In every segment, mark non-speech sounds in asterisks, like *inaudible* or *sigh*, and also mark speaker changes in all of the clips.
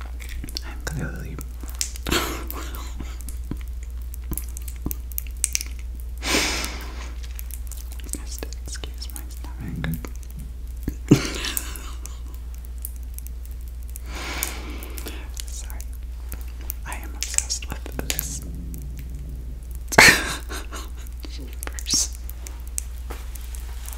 Speaker 1: I'm clearly. Just excuse my stomach. Sorry. I am obsessed with this. Jeepers. *laughs*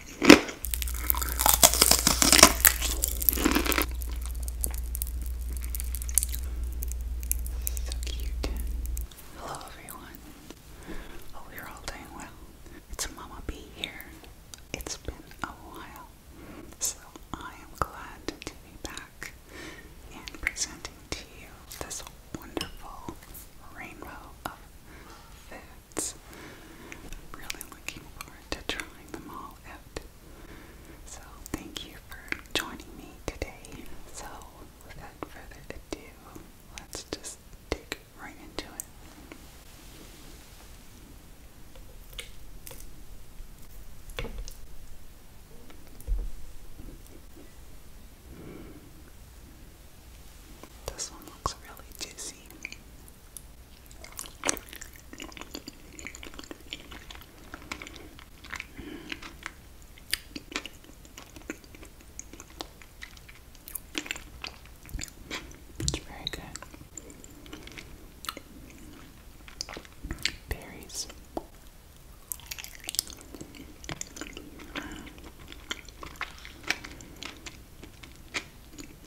Speaker 1: Hello, everyone. Hope you're all doing well. It's Mama B here. It's been a while, so I am glad to be back and presenting to you this wonderful rainbow of food. I'm really looking forward to trying them all out. So, thank you for joining me today. So, without further ado, let's just dig right into it. This one looks really juicy. It's very good. Berries.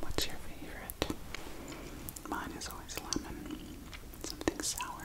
Speaker 1: What's your favorite? Mine is always lemon. Something sour.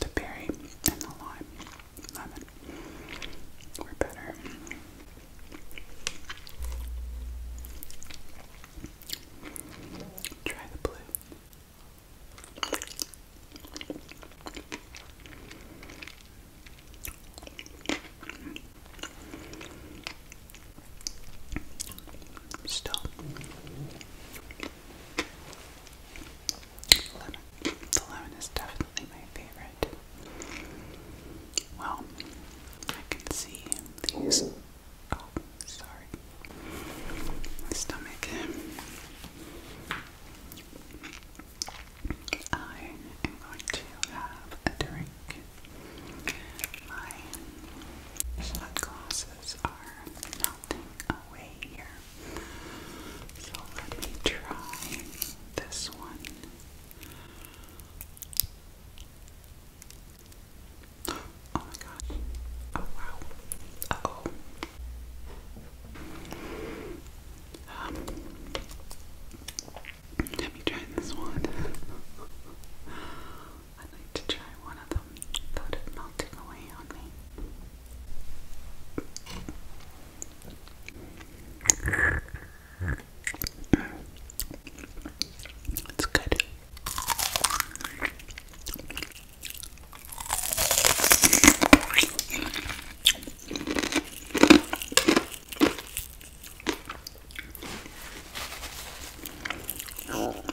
Speaker 1: The berry and the lime, lemon were better. Try the blue. Still the lemon is definitely my favorite. Well, I can see these. Oh, sorry. My stomach. I am going to have a drink. My shot are away here. So let me try this one. Oh my gosh. Oh wow. Uh oh. let me try this one. I'd like to try one of them without it melting away on me. It's good. Mm.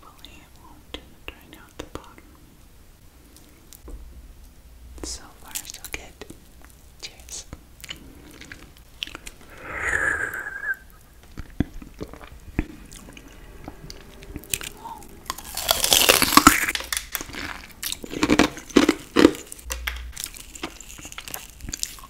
Speaker 1: Hopefully it won't drain out the bottom. So far so good. Cheers.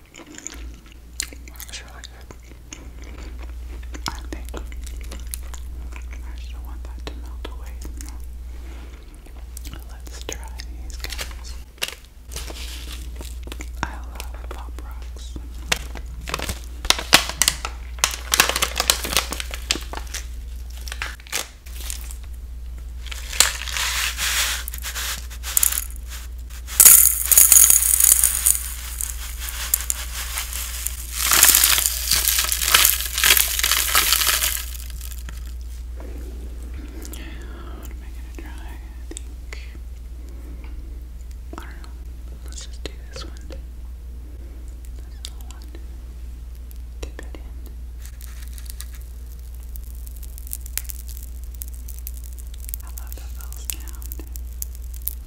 Speaker 1: It's really good. I think I still want that to melt away. Let's try these guys. I love Pop Rocks. What am I gonna try? I think I don't know. Let's just do this one. This little one. Dip it in. I love the bell sound.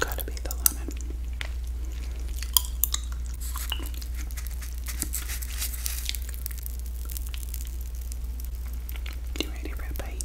Speaker 1: Gotta be the lemon. You ready for a bite?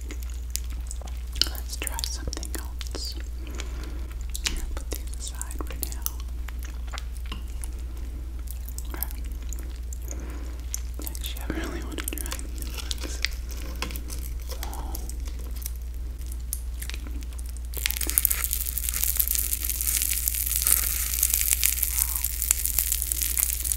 Speaker 1: Let's try something else. put these aside for now. Actually, I really want to try these ones.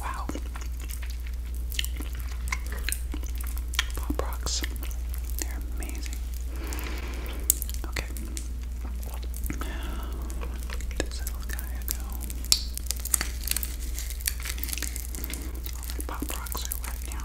Speaker 1: Wow. Pop rocks. They're amazing. Okay. This little guy go. All my pop rocks are wet now.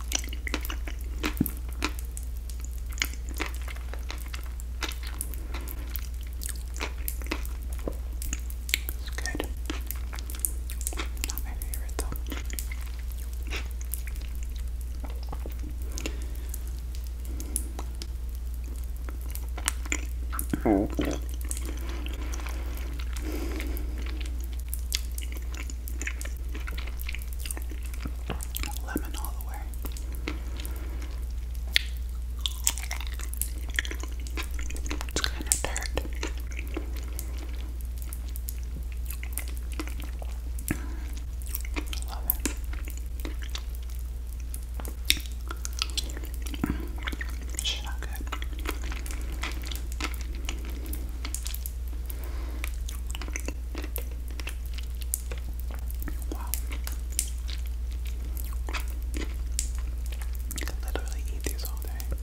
Speaker 1: It's good. Not my favorite though. Lemon all the way. It's kind of tart. Love it. It's not good. Wow. I could literally eat these all day.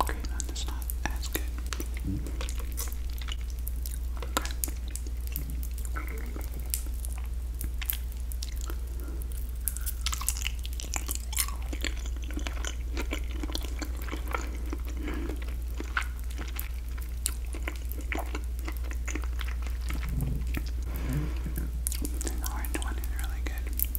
Speaker 1: Okay, that's not as good. The orange one is really good.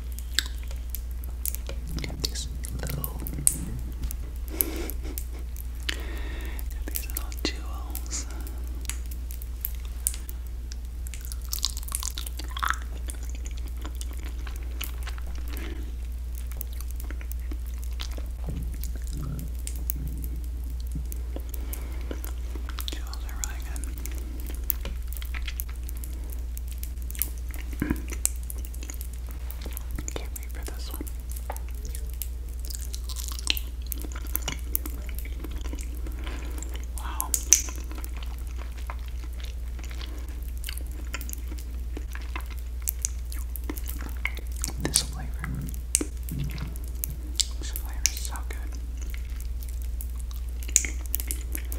Speaker 1: This little these little jewels. Jewels are really good. Can't wait for this one. Wow. This flavor. This flavor is so good.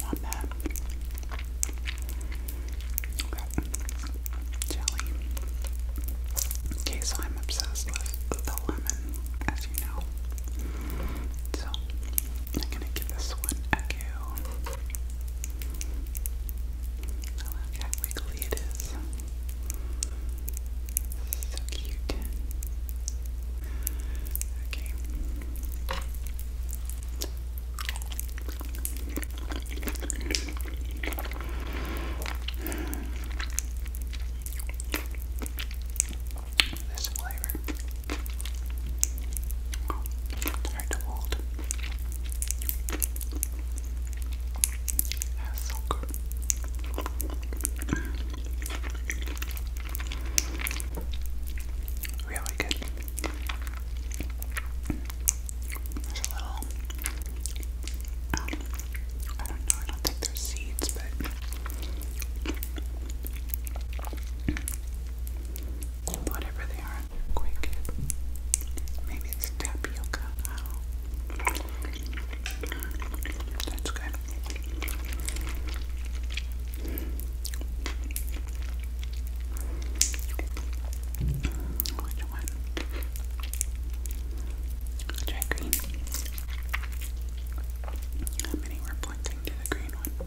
Speaker 1: Not bad. Okay. Jelly. Okay, so I'm obsessed with the lemon, as you know. So I'm gonna give this one a go. I like how wiggly it is. So cute. Okay. This flavor. hard to hold. That's so good. Really good. There's a little. Um, I don't know, I don't think there's seeds, but. Whatever they are, good. Maybe it's tapioca. That's good. Which one? Jack green. How many were pointing to the green one?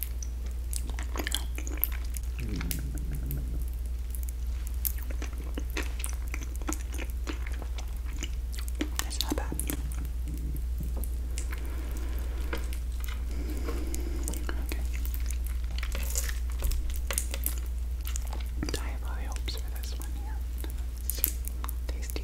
Speaker 1: That's not bad. high hopes for this one here. tasty.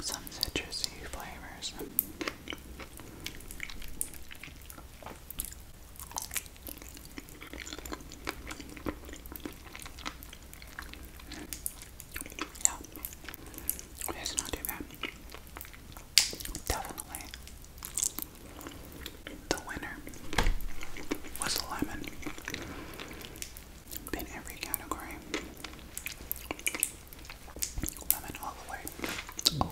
Speaker 1: some citrusy flavors. Yeah, it's not too bad. Definitely, the winner was the lemon in every category. Lemon all the way.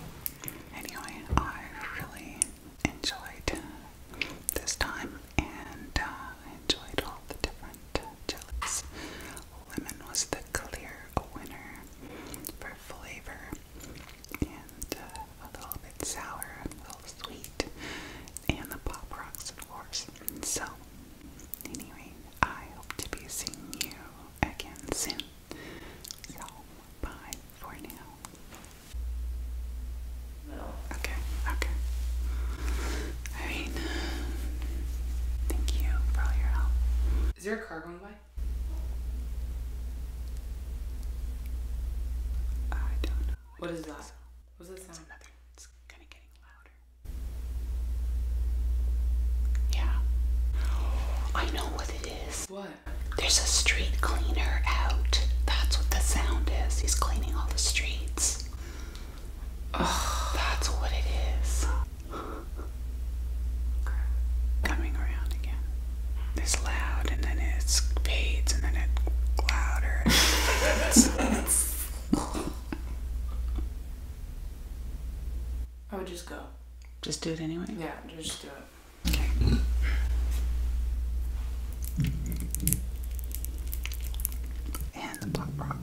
Speaker 1: Anyway, I really enjoyed this time and uh, enjoyed all the different jellies. Lemon was the clear winner for flavor and uh, a little bit sour, a little sweet, and the Pop Rocks, of course. So, anyway, I hope to be seeing you again soon. So, bye for now. Okay, okay. I mean, thank you for all your help. Is there a car going by? I don't know. What is that? What's that sound? It's kind of getting louder. Yeah. I know what it is. What? There's a street cleaner out. That's what the sound is. He's cleaning all the streets. that's what it is. Coming around again. It's loud and then it fades and then it louder. *laughs* *laughs* *laughs* I would just go. Just do it anyway? Yeah, just do it. And the pop rock.